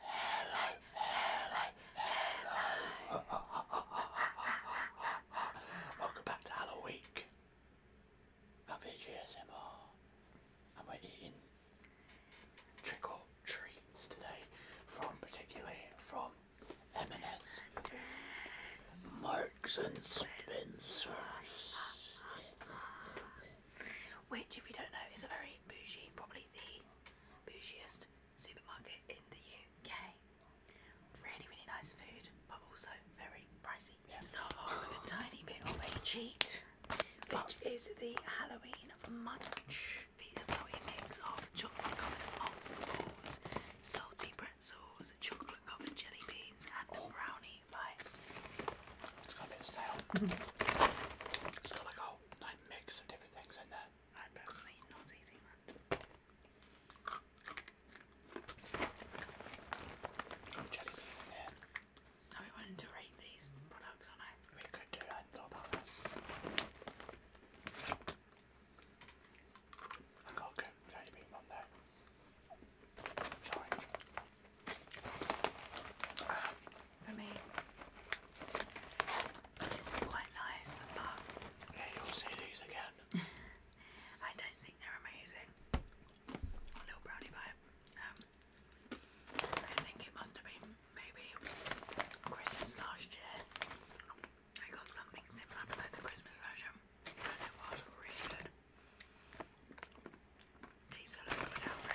Hello, hello, hello. Welcome back to Halloween. Of HASMR. And we're eating trick or treats today from particularly from m Marks and Spencers. Which, if you don't know, is a very bougie, probably the bougiest supermarket in the UK. Really, really nice food, but also very pricey. Yep. a tiny bit of cheat, which is the Halloween munch. These of chocolate covered malt salty pretzels, chocolate covered jelly beans, and brownie bites. It's got a bit stale. it's like a like mix of different things in there. I'm personally not eating that. Jelly bean in here. I we wanted to rate these products, aren't I? We could do that. Not about I got a jelly bean on there. Sorry. This is quite nice, yeah, you'll see these again. I don't think they're amazing. A little brownie bite. Um, I think it must have been maybe Christmas last year. I got something similar like the Christmas version, and it was really good. These are looking out for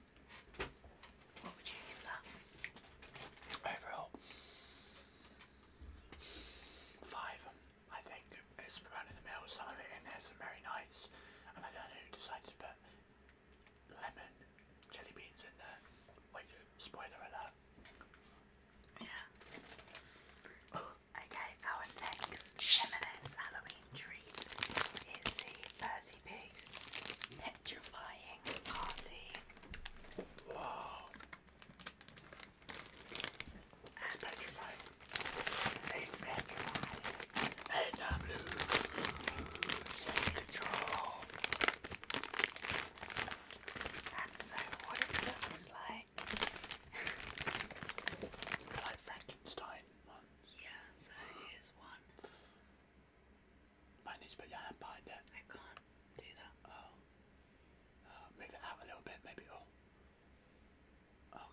Overall, five. I think it's around in the middle. Some of it in there is very nice, and I don't know who decided to put lemon jelly beans in there. spoiler alert. Yeah. Okay, our next m Halloween treat is the Percy Pig's petrifying party. Wow. It's and It's petrifying. And I'm losing control. so what it looks like. like Frankenstein ones. Yeah, so here's one. Mine needs to put your hand behind it. I can't do that. Oh. Uh, move it out a little bit, maybe. Oh.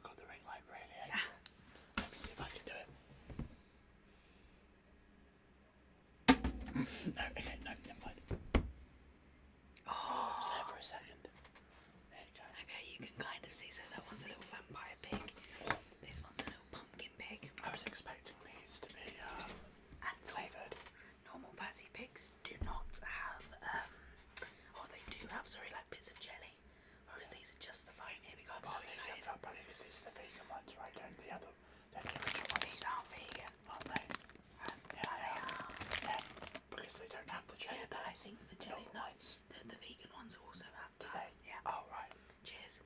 god, the ring light really Let me see if I can do it. no, okay, no, never mind. Oh. It's for a second. Okay, you can kind of see, so that one's a little vampire pig. This one's a little pumpkin. I was expecting these to be uh, um, flavoured. Normal Percy pigs do not have, um, or they do have, sorry, like bits of jelly. Whereas these are just the fine. Here we go. I'm but so Are, but these the vegan ones, right? Don't the other, don't the original ones. These aren't vegan, are they? Um, yeah, they, are. because they don't have the jelly. Yeah, but I think the jelly notes. The, vegan ones also have that. Do Yeah. Oh, Cheers.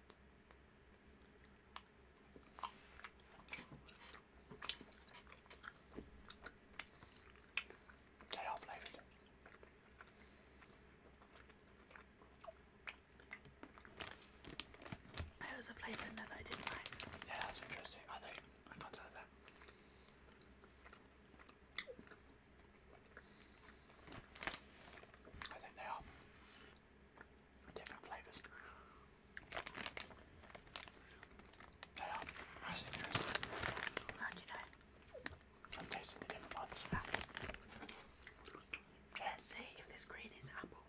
They was a flavour that I didn't like. Yeah, that's interesting. I think I can't tell that. I think they are different flavors. They are massive. How do you know? I'm tasting the different ones. Yeah, see if this green is apple.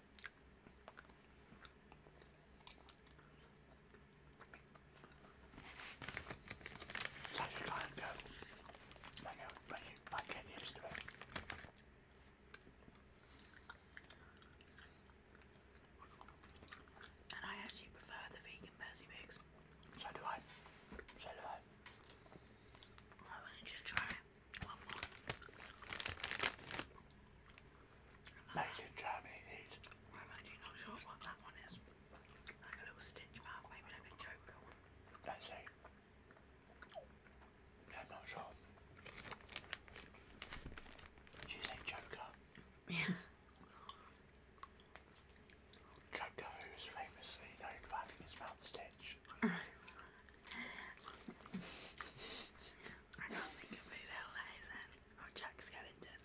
It's actually trying to go, like, you, like get used to it. And I actually prefer the vegan Percy Pigs. So do I. So do I. Why wouldn't you just try one more? these. I'm actually not sure what that one is. Like a little stitch mark, maybe like a joker one. Let's see. I'm not sure. Did you say Joker? Yeah. Joker, who's famously known for having his mouth stitched. I can't think of who the hell that is then. Oh, Jack Skellington.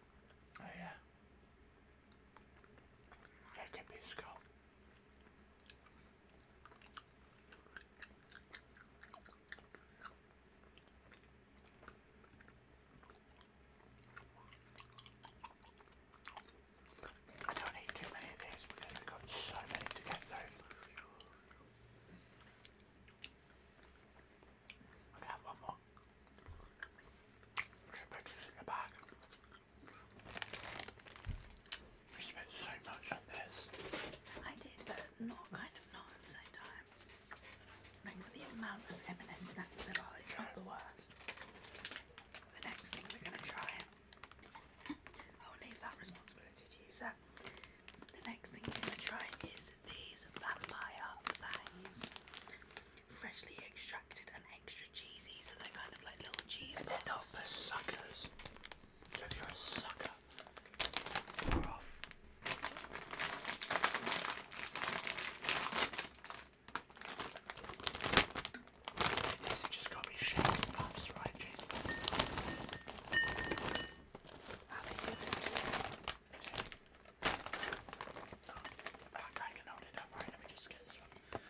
Oh, yeah. That could be Scott. I don't need too many of these because we've got so many to get through. one more. Should put this in the bag. We spent so much on this. I did, but not kind of not at the same time. Like for the amount of M&S snacks there are, it's not the worst. The next thing we're going to try, I'll leave that responsibility to you, sir. The next thing we're going to try is these vampire fangs. Freshly extracted and extra cheesy, so they're kind of like little cheese. They're not the suckers. Said you're a sucker. just got me shaking puffs, right, James oh, I gotta get up, right? Let me just get this one.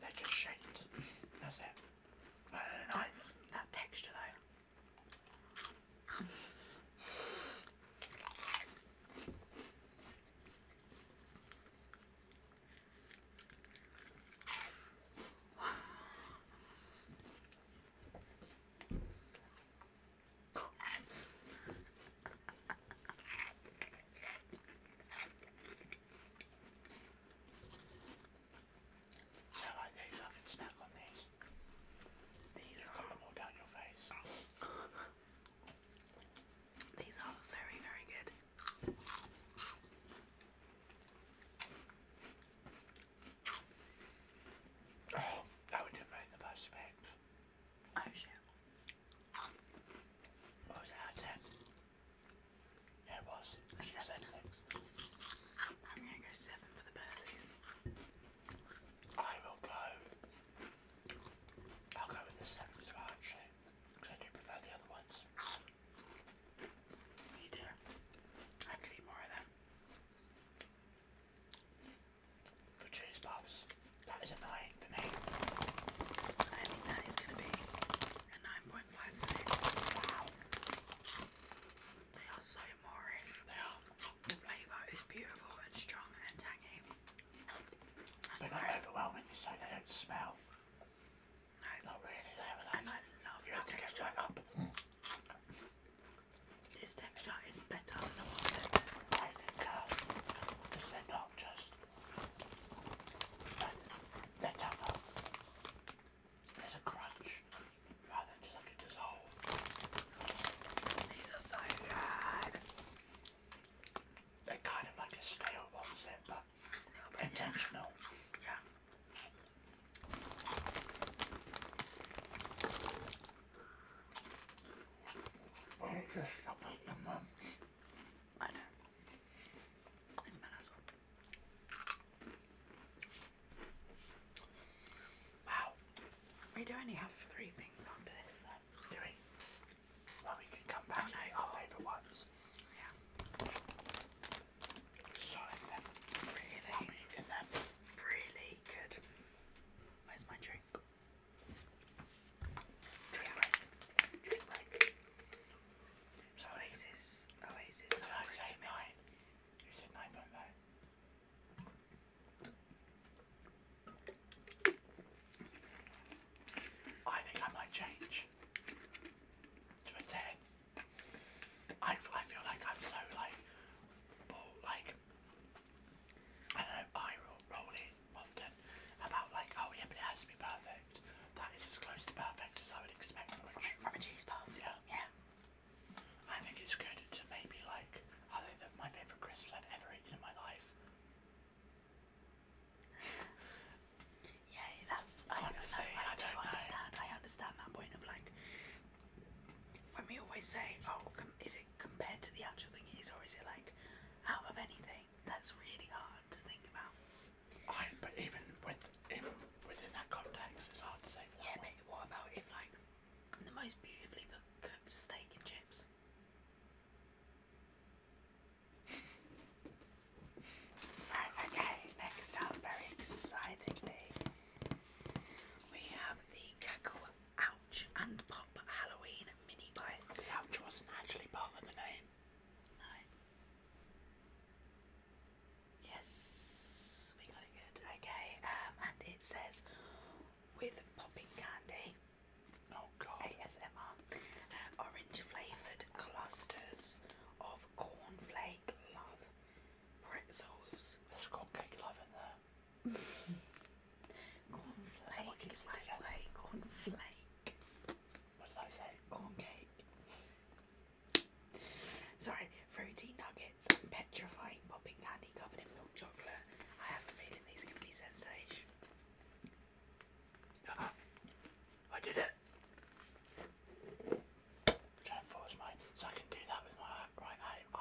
they just shaped. That's it. That texture though. I like these, I can these. These are cut all down your face. These are very, very good. Oh, that would have made the best bags. Oh shit. was that? 10? it was. seven. Six. I'm gonna go seven for the Percy's. I will go. I'll go with the seven as well, actually. Because I do prefer the other ones. Me too. I could eat more of them for cheese puffs. That is a 9 for me. I think that is going to be a 9.5 Wow. They are so Moorish. They are. The flavour is beautiful and strong and tangy. They're not overwhelming, so they don't smell. Not really, they were like, I love You texture. This texture is better than the I think uh, because not just they're tougher. There's a crunch rather than just like a dissolve. These are so good. They're kind of like a stale one set, but intentional. yeah. Why don't you stop at your mum? We do only have three things after this, though. Do Well, we can come back and make our favourite ones. Yeah. Really good. Where's my drink? Dream break. Dream break. I think I might change to a ten. I, I feel like I'm so like, like I know I roll it often about like, oh yeah, but it has to be perfect. That is as close to perfect as I would expect from, from, from a cheese puff. Yeah. Yeah. I think it's good to maybe like, I think that my favourite crisps I've ever eaten in my life. yeah, that's, I, Honestly, know, I, I, don't do understand. Know. I understand that point of like, when we always say, oh, is compared to the actual thing is, or is it like out of anything? That's really hard to think about. but even with within that context, it's hard to say. yeah, but what about if like the most beautifully cooked steak and chips? right, okay. Next up, very excitingly, we have the Kakao and Pop Halloween Mini Bites. The Ouch wasn't actually part of the name. Yes, we got it good. Okay, um, and it says with popping candy. Oh god. ASMR. Um, orange flavoured clusters of cornflake love pretzels. There's cornflake love in there. Cornflake. Someone Cornflake. What did I say? Corn cake. Sorry, fruity nuggets and petrifying popping candy covered in milk chocolate. I have a feeling these are going to be sensational. I did it! trying to force my. So I can do that with my right hand my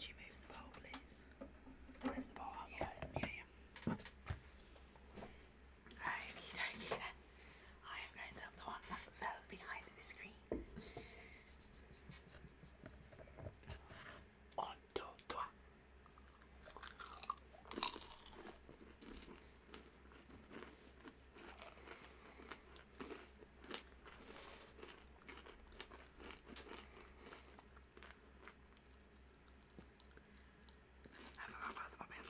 you move the bowl, please? Move the bowl yeah. Yeah, yeah. Okie dokie then. I am going to have the one that fell behind the screen. I forgot about the pumpkin.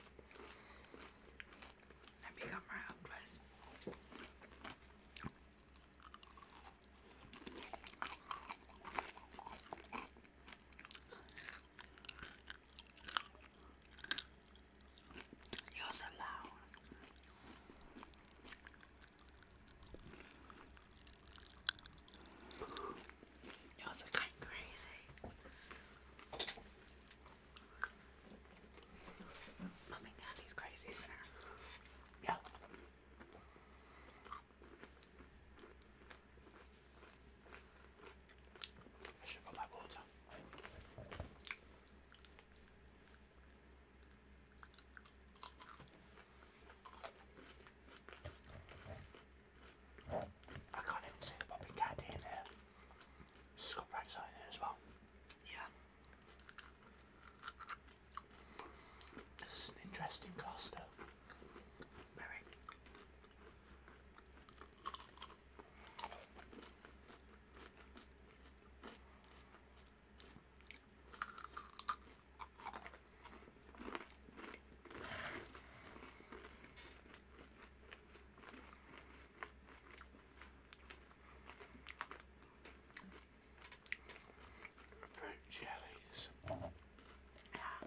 Let me come around, guys. You're so loud. You're so kind of crazy. Mommy, daddy's crazy, sir. I should got my water. I can't even see the popping candy in there. It's got rats as well. Yeah. This is an interesting cluster. Very. Fruit jellies.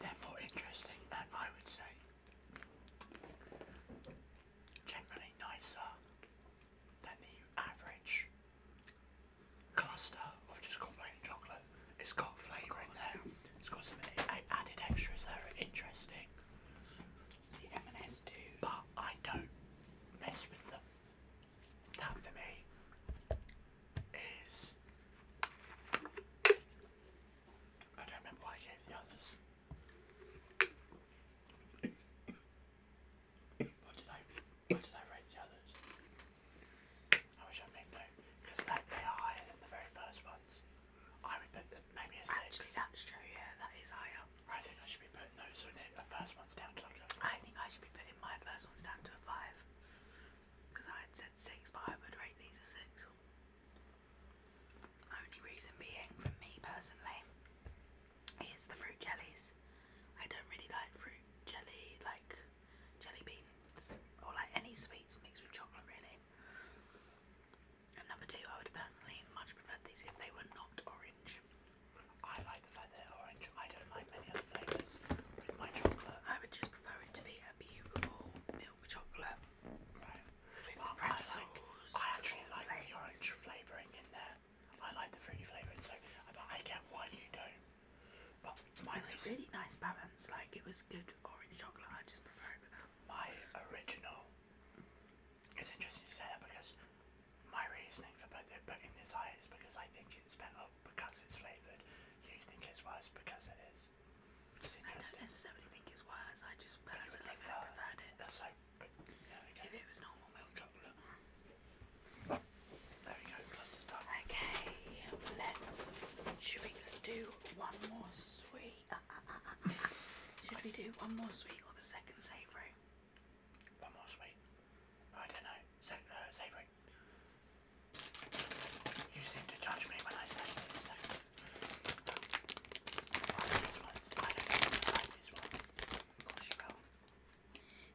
They're more interesting and I would say generally nicer than the average cluster of just plain chocolate. It's got flavour in there. It's got some added extras that are interesting. See, M&S do. But I don't mess with them. That for me is. I don't remember what I gave the others. What did I? What did I rate the others? I wish I made because they are higher than the very first ones. I would put them maybe a six. Actually, that's true. Yeah, that is higher. I think I should be putting those on it. The first one's down to chocolate. I think I should be putting my first ones down to a five. Because I had said six, but I would rate these a six. Only reason being, for me personally, is the fruit jellies. I don't really like fruit jelly, like jelly beans, or like any sweets mixed with chocolate, really. And number two, I would personally much prefer these if they were not orange. I like the fact that they orange. I don't like many other flavours with my chocolate. I would just prefer it to be a beautiful milk chocolate. but I, actually like the orange flavouring in there. I like the fruity flavouring, so I get why you don't. But it was a really nice balance. Like it was good orange chocolate. I just prefer My original. It's interesting to say that because my reasoning for putting this higher is because I think it's better because it's flavoured. You think it's worse because it is. Because it I don't necessarily it. think it's worse. I just personally would have preferred it. That's so. But, yeah, okay. If it was normal milk chocolate. There we go. Plus the stuff. Okay. Let's. Should we do one more sweet? Uh, uh, uh, uh, uh. Should we do one more sweet or the second savoury? One more sweet. I don't know. Uh, savoury. You seem to judge me when I say this.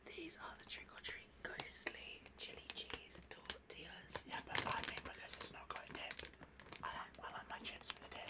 these are the trick or treat ghostly chili cheese tortillas. Yeah, but I mean because it's not got a I like I like my chips with a dip.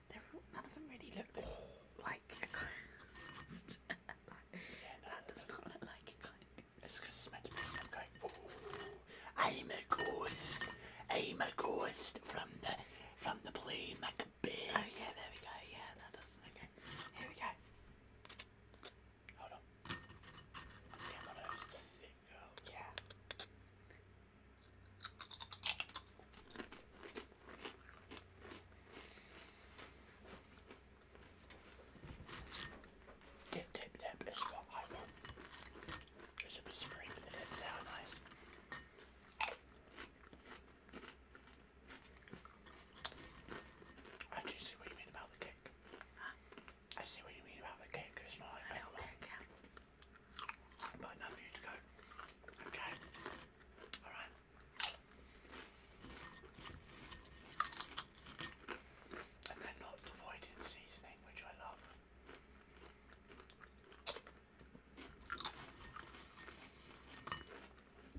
none of them really look like a ghost. that does not look like a ghost. It's because it's meant to be I'm going, I'm a ghost. I'm a ghost from the from the play Macbeth. Oh yeah, there we go. Yeah, that does. Okay, here we go. Hold on. Yeah. Dip, dip, dip is what I want. There should be spring in it, nice. I do see what you mean about the cake. I see what you mean about the cake, it's not like But enough for you to go. Okay. Alright. And they're not devoid in seasoning, which I love.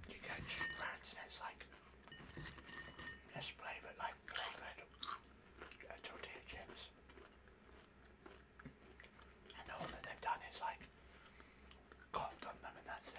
You go to brands and it's like just flavour like flavoured uh, tortilla chips. And all that they've done is like coughed on them and that's it.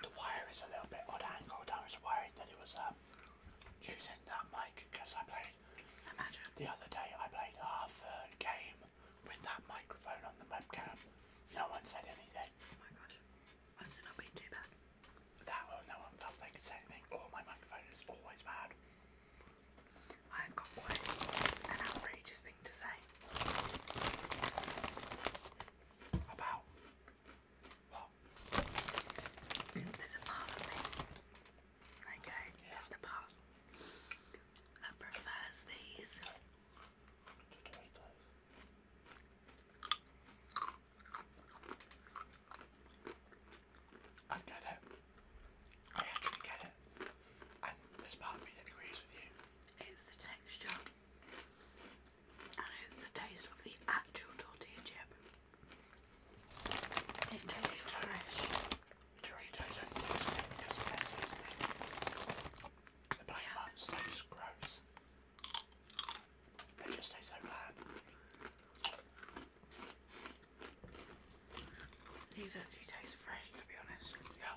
The wire is a little bit odd angled. I was worried that it was um, using that mic because I played. The other day I played half a game with that microphone on the webcam. No one said anything. Oh my gosh. Must it not been too bad? That well, no one felt they could say anything. Oh, my microphone is always bad. I've got quite an outrageous thing to say. About there's a part okay, just a part, that prefers these I get it. I actually get it. And there's part of me that agrees with you. It's the texture and it's the taste of the actual tortilla chip. It tastes fresh. Doritos and the plain ones taste gross. They just taste so bland. These actually taste fresh to be honest. Yeah.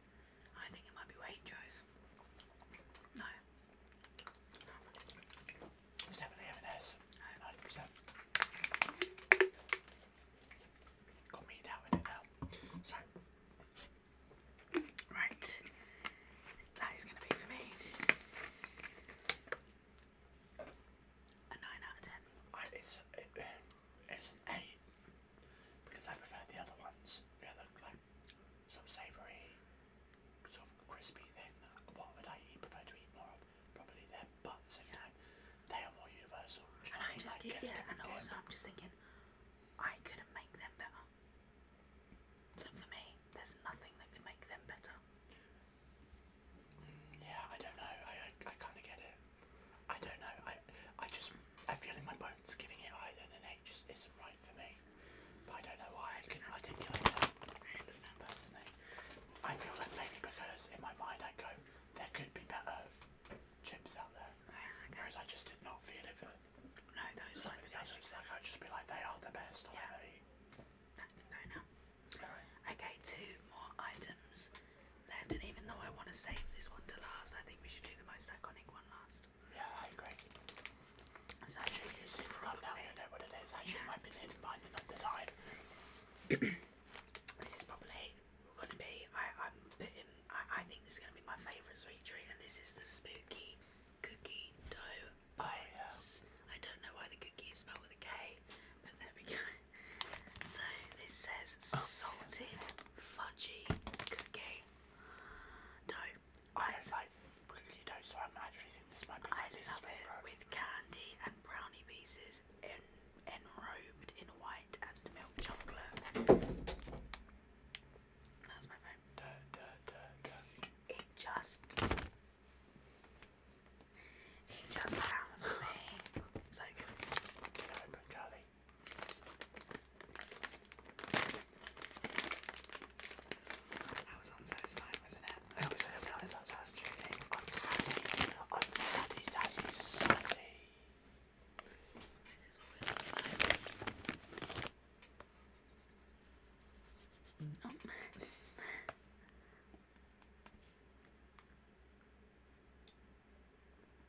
I think it might be Waitrose. No. definitely M&S. Ninety percent. Got me right, that is going to be for me a nine out of ten. It's an eight because I prefer the other ones. Yeah, look like some savoury, sort of crispy thing. What would I eat, prefer to eat more of? Probably them, but at the same yeah. time, they are more universal. And I just like, get, yeah, and also dip. I'm just thinking, I couldn't make them better. So for me, there's nothing that could make them better. Mm, yeah, I don't know. I, I kind of get it. I don't know. I I just I feel in my bones giving it Ireland and eight just isn't right for me. I don't know why I can not articulate that. I understand personally. I feel like maybe because in my mind I go, there could be better chips out there. Ah, Whereas I just did not feel it for no, those the others. Like I'd just be like, they are the best. Yeah. I Okay, two more items. I even though I want to save this one to last, I think we should do the most iconic one last. Yeah, I agree. So I should see I now you know what it is. Actually, yeah. it might be at the time. this is probably going to be, I, I'm I, I think this is going to be my favourite sweet treat, and this is the spooky cookie dough bites. Oh, I don't know why the cookie is spelled with a K, but there we go. So this says oh. salted fudgy cookie. No, I don't so I'm actually think this might be I love it with candy and brownie pieces enrobed in white and milk chocolate. That's my favorite. It just, it just sounds me so good. Can open Carly? That was unsatisfying, wasn't it? I always say that was unsatisfying. Unsatty, This is what we're looking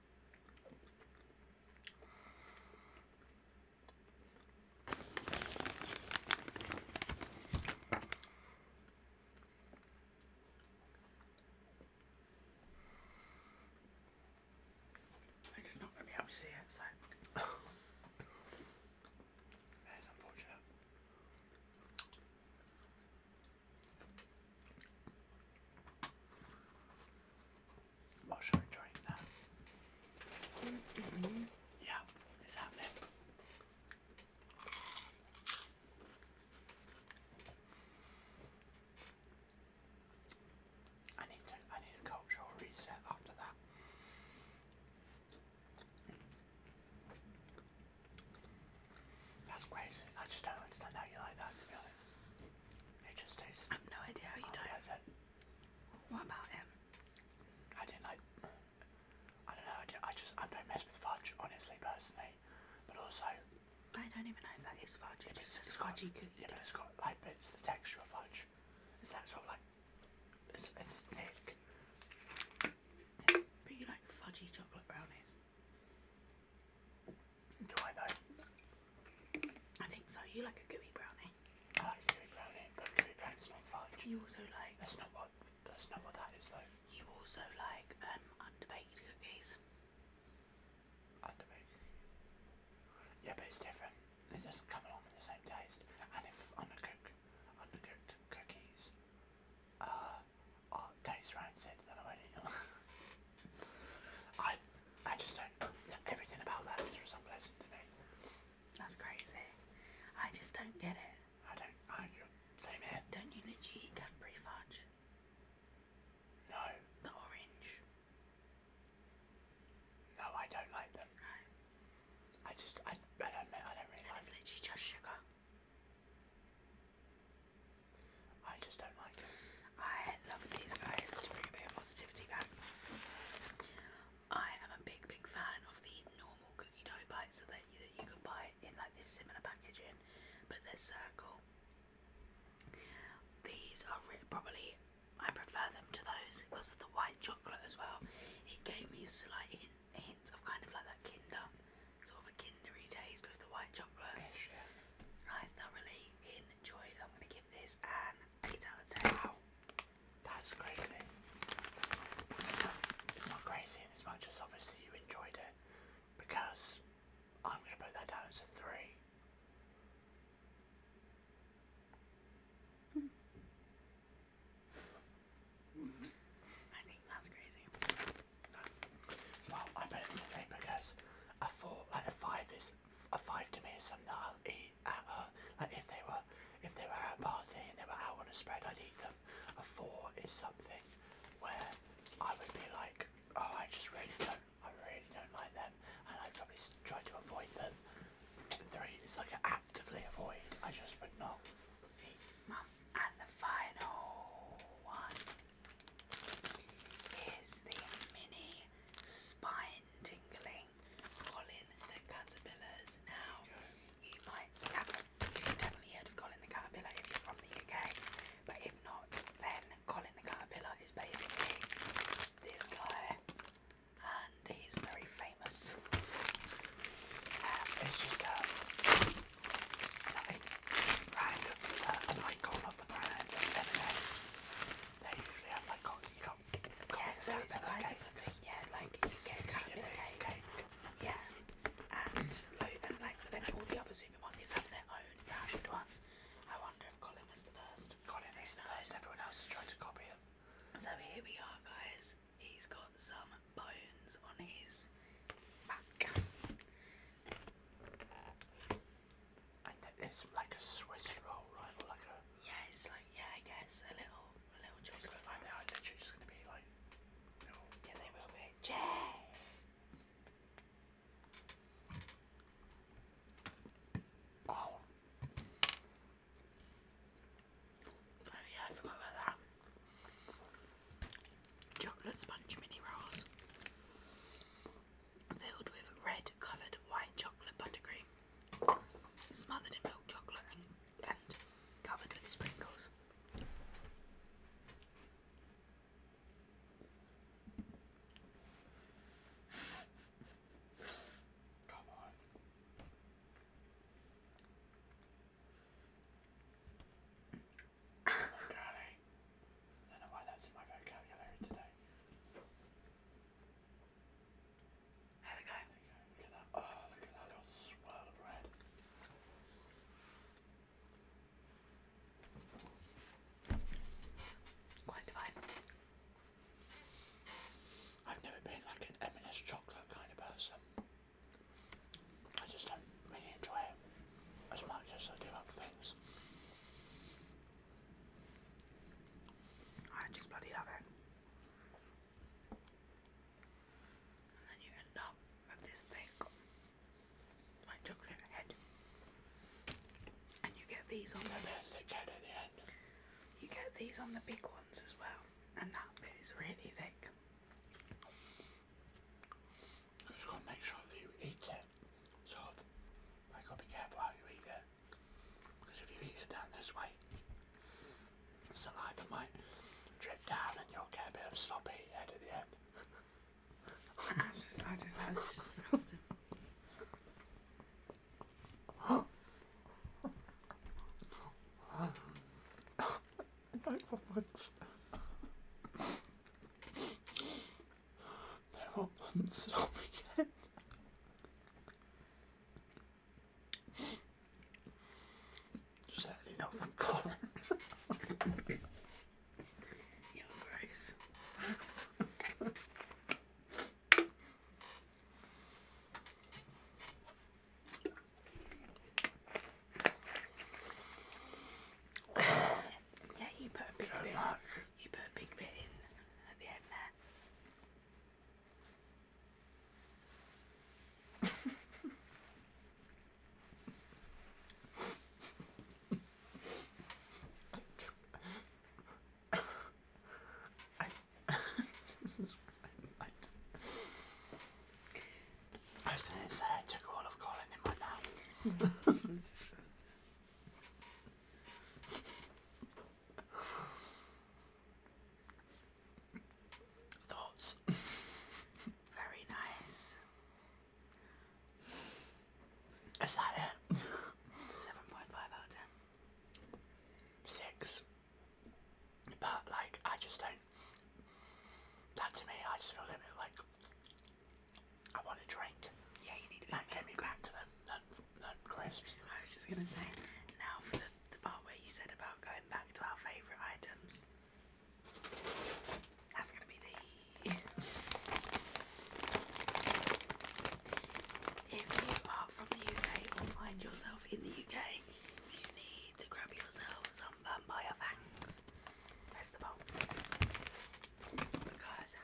I'm just not going to to see it, so. that is unfortunate. While you're enjoying that. Yeah, it's happening. I need to I need a cultural reset after that. That's crazy. I just don't understand how you like that to be honest. It just tastes. I've no idea how you unpleasant. don't. What about him? I didn't like. I don't know. I, just I don't mess with fudge, honestly, personally. But also. I don't even know if that is fudge. Yeah, it's, it's fudgy cookie. Yeah, but it's got like bits the texture of fudge. It's that sort of like. It's, thick. Yeah, but you like fudgy chocolate brownies. Do I though? I think so. You like a gooey brownie. I like a gooey brownie, but gooey brownie's not fudge. You also like. That's not what. That's not what that is though. You also like um underbaked cookies. Underbaked. Yeah, but it's different. It doesn't come along with the same taste. And if undercooked, undercooked cookies, uh, are taste rancid, then I won't eat I I just don't know everything about that just for some reason to me. That's crazy. I just don't get it. I don't. I same here. Don't you literally eat Cadbury fudge? No. The orange. No, I don't like them. No. I just I I don't I don't really and like. It's literally them. just sugar. I just don't like them. I love these guys to bring a bit of positivity back. I am a big, big fan of the normal cookie dough bites that you, that you can buy in like this similar packaging, but they're circle. These are probably I prefer them to those because of the white chocolate as well. It gave me slight hint, hints of kind of like that Kinder, sort of a Kindery taste with the white chocolate. Yes, yes. I thoroughly enjoyed. I'm gonna give that's crazy. It's not crazy as much as obviously you enjoyed it because I'm going to put that down as a 3. I think that's crazy. Well, I bet it's a three because a four, like a five, is a five to me is something that I'll eat at a, like if they were if they were at a party and they were out on a spread I'd eat them. A four is something where I would be like, oh I just really don't I really don't like them and I'd probably try to avoid them. Three is like actively avoid. I just would not eat. Mum, and the final one is the mini spine tingling Colin the Caterpillars. Now, you might definitely heard Colin the Caterpillar if you're from the UK, but if not, then Colin the Caterpillar is basically this guy, and he's very famous. Um, it's just a brand an icon of the brand yeah, so it's kind of yeah, like you get a cut Yeah. And, like then all the other supermarkets have their own branded ones. I wonder if Colin was the first. Colin is the first, everyone else has tried to copy it. So here we are guys. He's got some bones on his back it's like a Swiss roll, right? like a yeah, it's like yeah, I guess a little, a little chocolate. Like they literally just gonna be like, yeah, they will be. Oh. Oh yeah, I forgot about that. Chocolate sponge mini rolls filled with red coloured white chocolate buttercream, smothered in milk chocolate and, covered with sprinkles. Come on. Oh my god, I don't know why that's in my vocabulary today. There we go. Oh, look at that little swirl of red. Quite divine. I've never been like an m chocolate kind of person. I just don't really enjoy it as much as I do other things. I just bloody love it. And then you end up with this thing like chocolate head. And you get these on the You get these on the big ones as well. And that bit is really thick. just gotta make sure that you eat it. Sort I gotta be careful how you eat it. Because if you heat it down this way, saliva might drip down and you'll get a bit of sloppy at the end. that's just, I just, that's just disgusting. no, for once. They won't stop me yet. had enough of Collins. Your Grace. Yeah, you put a big bit. You put a big bit in at the end there. I, I was going to say I took of Colin in my mouth. Thoughts? Very nice. Is that it? 7.5 out of 10. Six. But, like, I just don't. That to me, I just feel a bit like. I want a drink. Yeah, you need a That gave me back to them, them, them crisps. I was just going to say, now for the, the part where you said about going back to our favourite items. That's going to be the... if you are from the UK or find yourself in the UK, you need to grab yourself some vampire fangs. That's the bomb. Because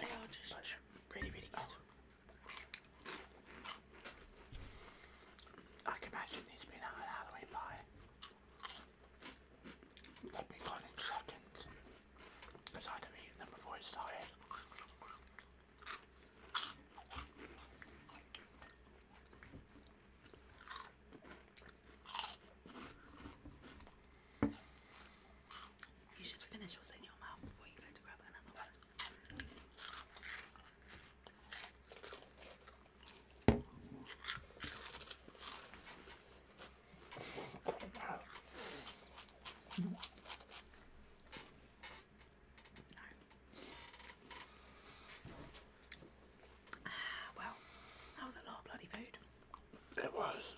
they are just really, really good. I can imagine these being out at Halloween They'll be in seconds because I'd have eaten them before it started. You should finish what's in your mouth before you go to grab another one. well, that was a lot of bloody food. It was.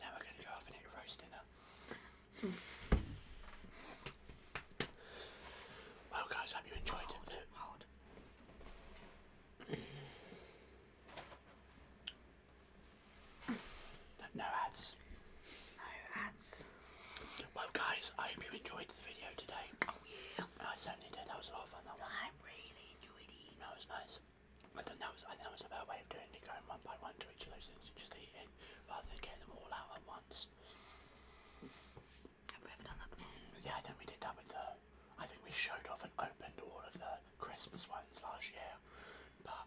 Now we're going to go off and eat roast dinner. Hmm. well, guys, hope you enjoyed it. No ads. No ads. Well guys, I hope you enjoyed the video today. Oh yeah. I certainly did, that was a lot of fun that one. I really enjoyed it. That was nice. I think that was I think that was a better way of doing it, going one by one to each of those things and just eating rather than getting them all out at once. Yeah, I think we did that with the. I think we showed off and opened all of the Christmas ones last year, but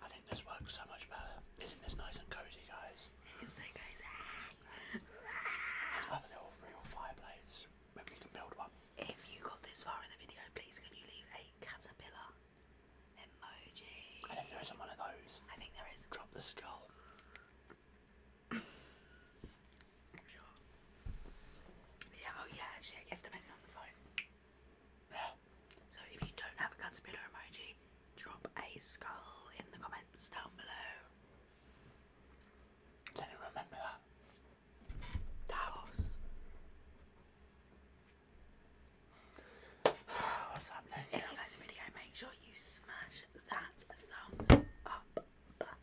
I think this works so much better. Isn't this nice and cozy, guys? It's so cozy. Let's have a little real fireplace. Maybe we can build one. If you got this far in the video, please can you leave a caterpillar emoji? And if there isn't one of those, I think there is. Drop the skull. Yeah, oh yeah, actually, I guess depending on the phone. So if you don't have a caterpillar emoji, drop a skull in the comments down below. Let me remember that. Taos. What's happening? If you like the video, make sure you smash that thumbs up button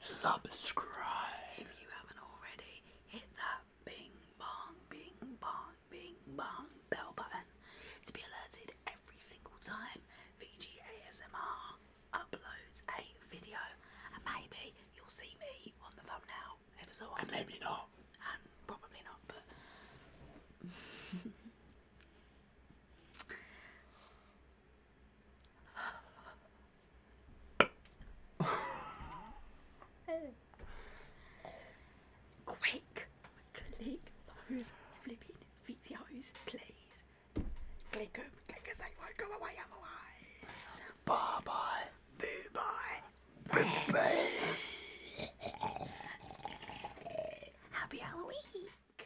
and subscribe if you haven't already. Hit that bing bong, bing bong, bing bong bell button to be alerted every single time VG ASMR uploads a video, and maybe you'll see me on the thumbnail ever so often. And maybe not. And probably not, Quick, click those flipping videos, please. Click them, they won't go away otherwise. Bye bye. Boo bye. Bye bye. Happy Halloween.